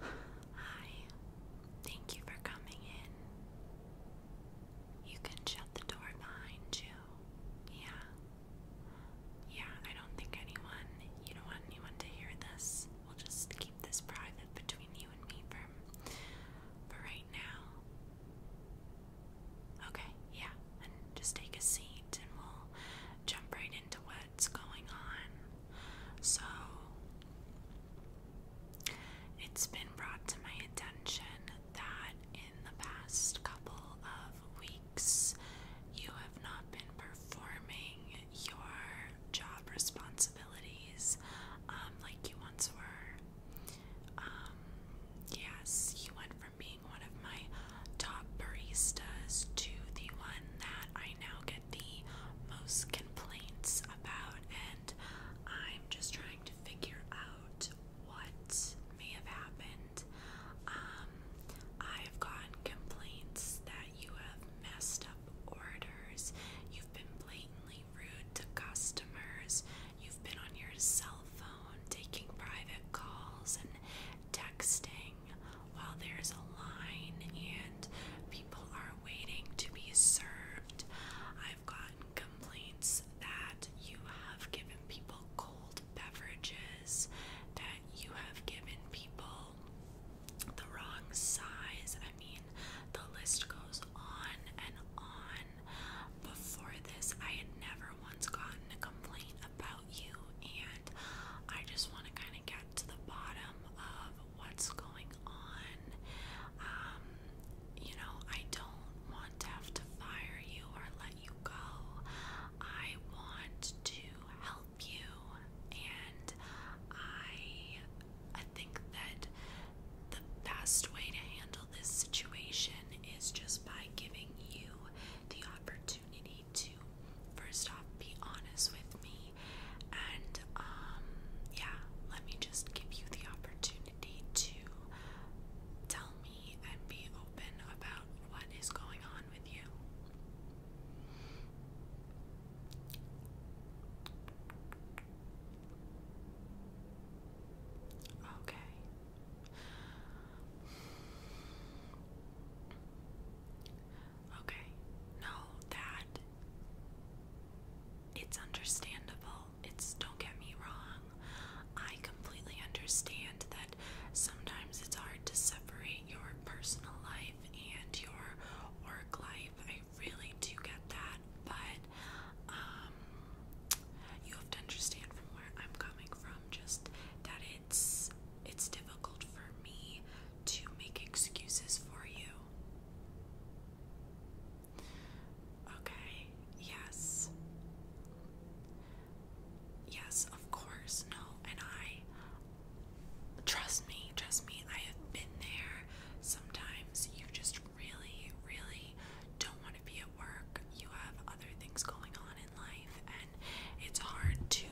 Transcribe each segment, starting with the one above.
Hi, thank you for coming in. You can shut the door behind you. Yeah. Yeah, I don't think anyone, you don't want anyone to hear this. We'll just keep this private between you and me for, for right now. Okay, yeah, and just take a seat and we'll jump right into what that's going on. So it's been brought to my attention that in the past couple of weeks, you have not been performing your job responsibilities um, like you once were. Um, yes, you went from being one of my top baristas to the one that I I now get the most complaints about, and I'm just trying to figure out what may have happened. Um, I've gotten complaints that you have messed up orders, you've been blatantly rude to customers, you've been on your cell phone taking private calls and texting while there's a line and people are waiting to be served. I've gotten complaints that you have given people cold beverages, that you have given people the wrong size. I mean, the list goes on and on. Before this, I had never once gotten a complaint about you, and I just want to kind of get to the bottom of what's going on. Um, you know, I don't want to have to fire you or let you go. I want to help you, and I, I think that the best way to handle this situation is just by giving you the opportunity opportunity to first off be honest with me and um yeah, let me just give you the opportunity to tell me and be open about what is going on with you. Okay. Okay. No, that it's understandable. It's don't get me wrong. I completely understand that sometimes it's hard to separate your personal life and your work life. I really do get that, but um you have to understand from where I'm coming from just that it's it's difficult for me to make excuses for you. Okay, yes. Yes, of course, no, and I trust me, trust me, I have been there. Sometimes you just really, really don't want to be at work. You have other things going on in life and it's hard to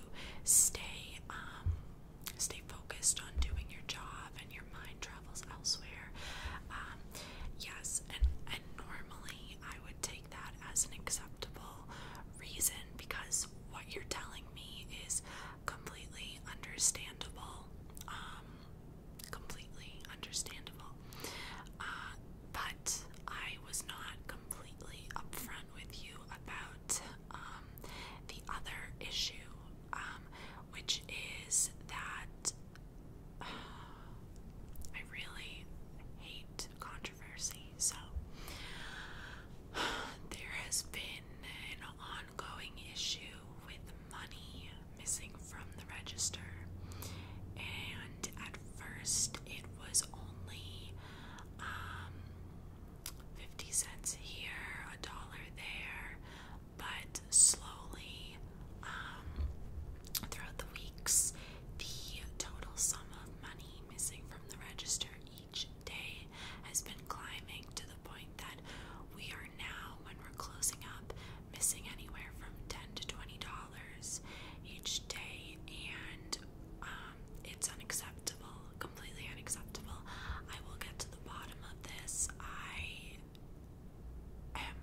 stay um stay focused on doing your job and your mind travels elsewhere. Um yes and and normally I would take that as an acceptable reason because what you're telling me is completely understandable. Um completely understandable. Uh but I was not completely upfront with you about um, the other issue, um, which is that I really hate controversy. So there has been an ongoing issue with money missing from the register, and at first it was only um, 50 cents here, a dollar there, but slowly um, throughout the weeks, the total sum of money missing from the register each day has been climbing to the point that we are now, when we're closing up, missing anywhere from 10 to $20 hours each day, and um, it's unacceptable, completely unacceptable. I will get to the bottom of this. I am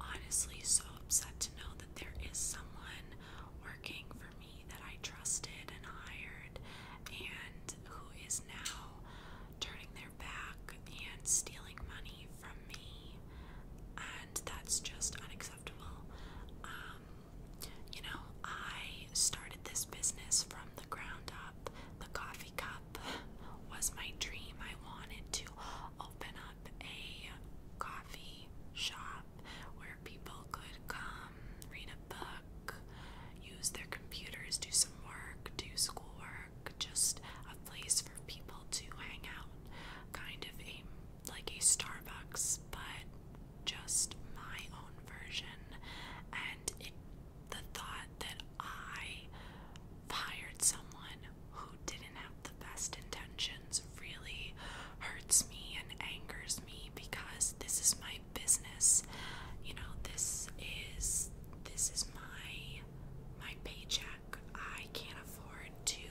honestly so upset to know that there is someone working for me that I trusted and hired, and who is now turning their back and stealing money from me, and that's just unacceptable. Um, you know, I started this business from the ground up. The coffee cup was my dream. I wanted to open up a coffee shop where people could come, read a book, use their computers, do some work, do schoolwork, just a place for people to hang out. Kind of a like a Starbucks, but just my own version. And it, the thought that I fired someone who didn't have the best intentions really hurts me and angers me because this is my business. You know, this is this is my my paycheck I can't afford to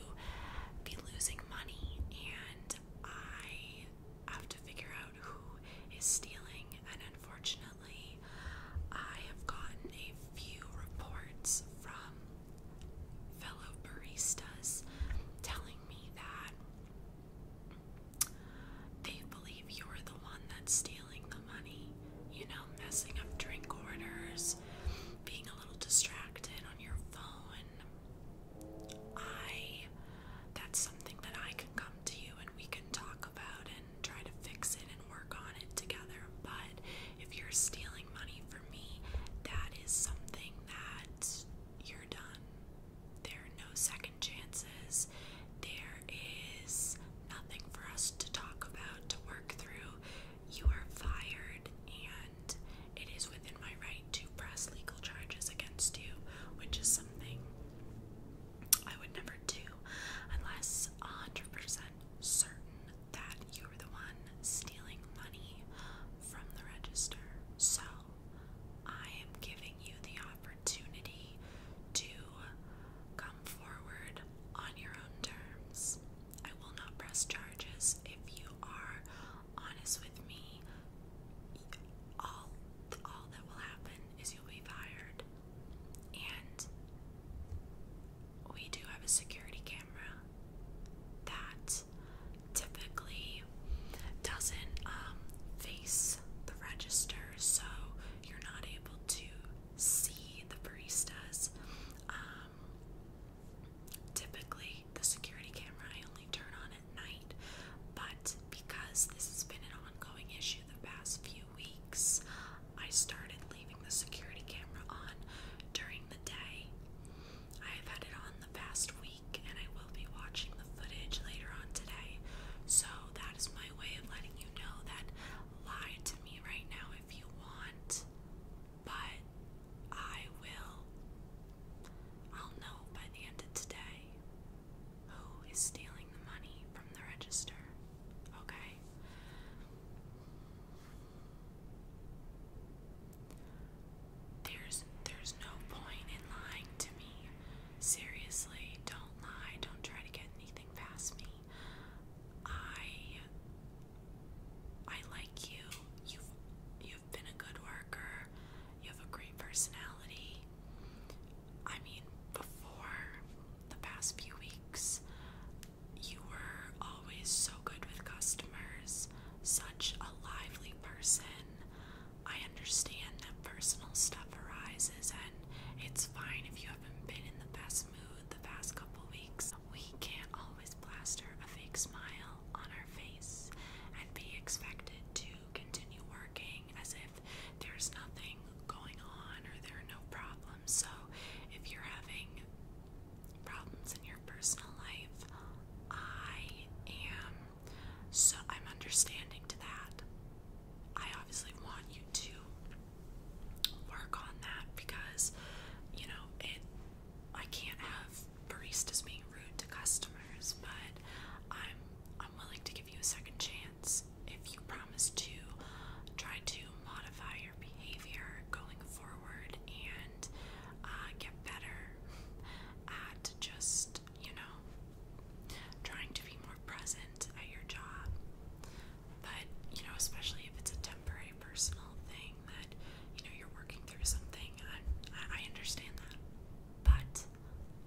be losing money, and I have to figure out who is stealing. And unfortunately, I have gotten a few reports from fellow baristas telling me that they believe you're the one that's stealing the money, you know, messing up drink orders is being a little distracted on your phone, I that's something that I can come to you and we can talk about and try to fix it and work on it together. But if you're stealing money from me, that is something that you're done. There are no second chances. There is nothing for us to talk about, to work through you are fired and it is within my right to press legal charges against you, which is something I would never do unless 100% certain that you were the one stealing money from the register. So, I am giving you the opportunity to come forward on your own terms. I will not press charges if you are honest with me. All all that will happen is you'll be fired. And we do have a security camera that typically doesn't um, face the register, so you're not able to see the baristas. Um, um, typically the security camera I only turn on at night, but because this has been an ongoing issue the past few weeks, I started leaving the security camera on during the day. I have had it on the past week, and I will be watching the footage later on today. So that is my way of letting you know that lie to me right now if you want, but I will. I'll know by the end of today who is stealing the money from the register, okay? There's there's no point in lying to me. Seriously, don't lie. Don't try to get anything past me. I I like you. You've you've been a good worker. You have a great personality. I mean, before the past few weeks, you were always so good with customers, such a lively person. I understand that personal stuff arises, and it's fine if you haven't been in the best smooth the past couple weeks. We can't always plaster a fake smile on our face and be expected to continue working as if there's nothing going on or there are no problems. So, if you're having problems in your personal life, I am so I'm understanding to that. I obviously want you to work on that because you know it I can't have baristas being rude to customers, but I'm I'm willing to give you a second chance if you promise to try to modify your behavior going forward and uh, get better at just you know trying to be more present at your job. But, you know, especially if it's a temporary personal thing that, you know, you're working through something, I, I understand that. But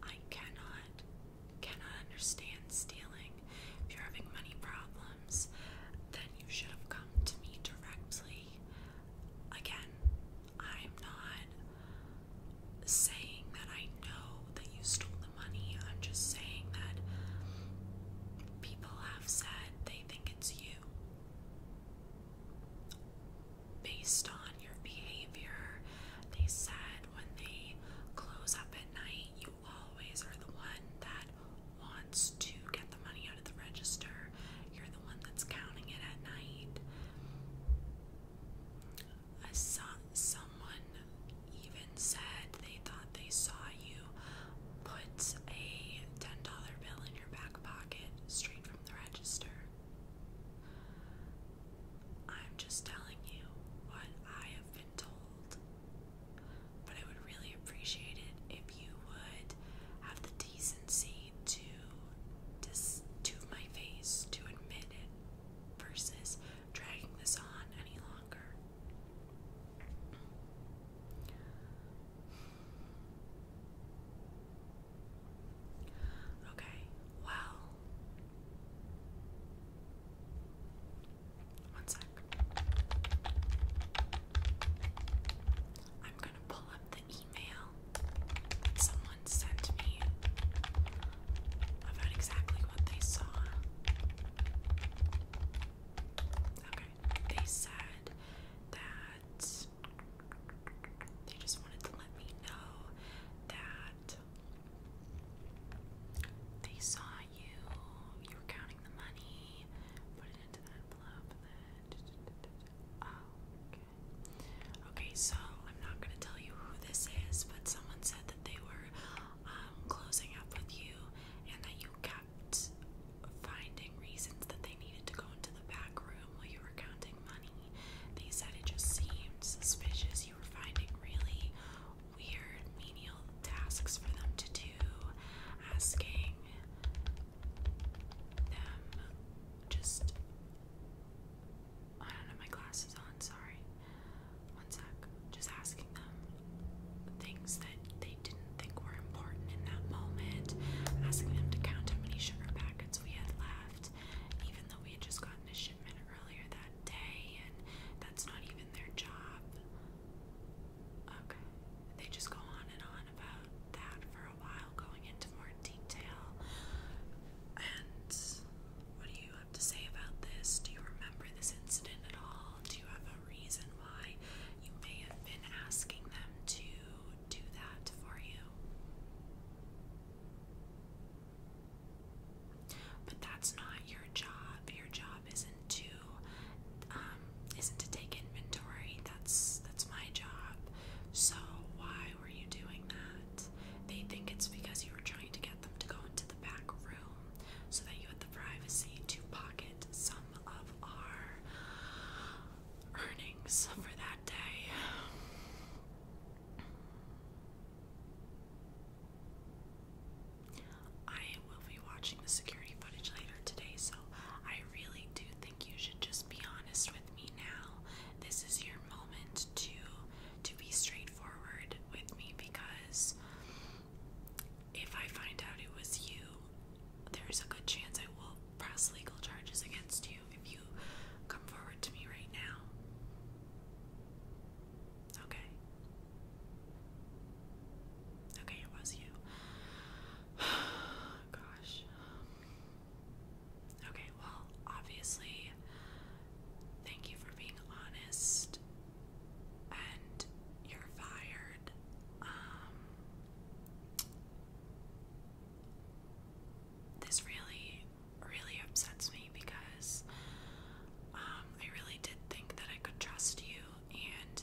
I cannot, cannot understand stealing. If you're having money problems, then you should have come to me directly. Again, I'm not saying that I know that you stole money. I'm just saying that people have said they think it's you based on your behavior. They said when they close up at night, you always are the one that wants to get the money out of the register. You're the one that's counting it at night. A son, someone even said they thought they saw you put a $10 bill in your back pocket straight from the register. I'm just telling you what I have been told. But I would really appreciate it if you would have the decency to dis to my face to admit it versus dragging this on any longer. Okay, well, one sec. I'm going to pull up the email someone sent me about exactly what they saw. Okay, they said that they just wanted to let me know that they saw you, you were counting the money, put it into that envelope, then. Oh, okay. Okay, so I'm not gonna tell you who this is, but someone said that they were um, closing up with you and that you kept finding reasons that they needed to go into the back room while you were counting money. They said it just seemed suspicious. You were finding really weird menial tasks for them to do, asking them just I don't have my glasses on, sorry. One sec. Just asking them things that they didn't think were important in that moment. Asking them to count how many sugar packets we had left, even though we had just gotten a shipment earlier that day, and that's not even their job. Okay. They just go on and on about that for a while, going into more detail. And what do you have to say about this? Do you remember this incident at all? Do you have a reason why you may have been asking them to do that for you? But that's not your job. Your job isn't to um, isn't to take inventory. That's that's my job. So why were you doing that? They think it's because you were trying to get them to go into the back room so that you had the privacy to pocket some of our earnings for that day. I will be watching the security footage later today, so I really do think you should just be honest with me now. This is your moment to to be straightforward with me because if I find out it was you, there's a good chance I will press legal charges against you if you come forward to me right now. Okay. Okay, it was you. Gosh. Okay, well, obviously, thank you for being honest, and you're fired. Um, this really, really upsets me because um, I really did think that I could trust you, and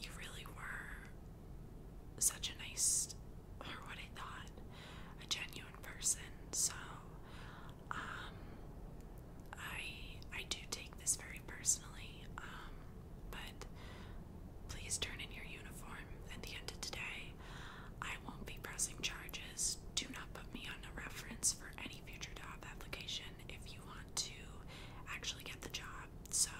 you really were such a nice, or what I thought, a genuine in person. So, um, I I do take this very personally. Um, but please turn in your uniform at the end of today. I won't be pressing charges. Do not put me on a reference for any future job application if you want to actually get the job. So,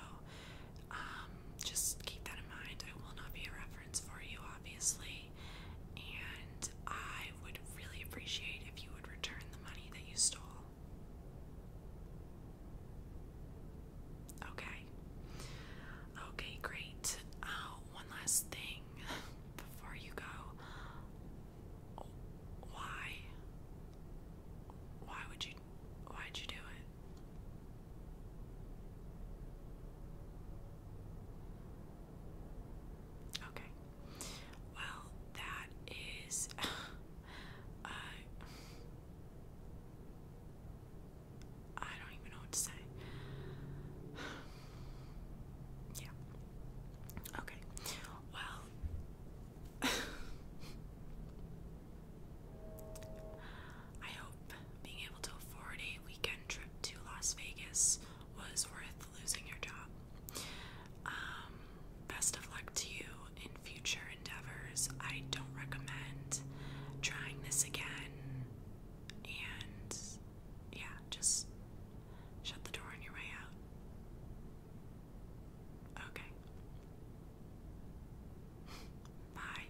um, just keep that in mind. I will not be a reference for you, obviously and I would really appreciate if you would return the money that you stole. Okay. Okay, great. Uh, one last thing before you go. Why? Why would you? Why'd you do it? Okay. Well, that is. Uh, I don't even know what to say. yeah. Okay. Well. I hope being able to afford a weekend trip to Las Vegas was worth losing your job. Um, best of luck to you in future endeavors. I don't recommend trying this again. And yeah, just shut the door on your way out. Okay. Bye.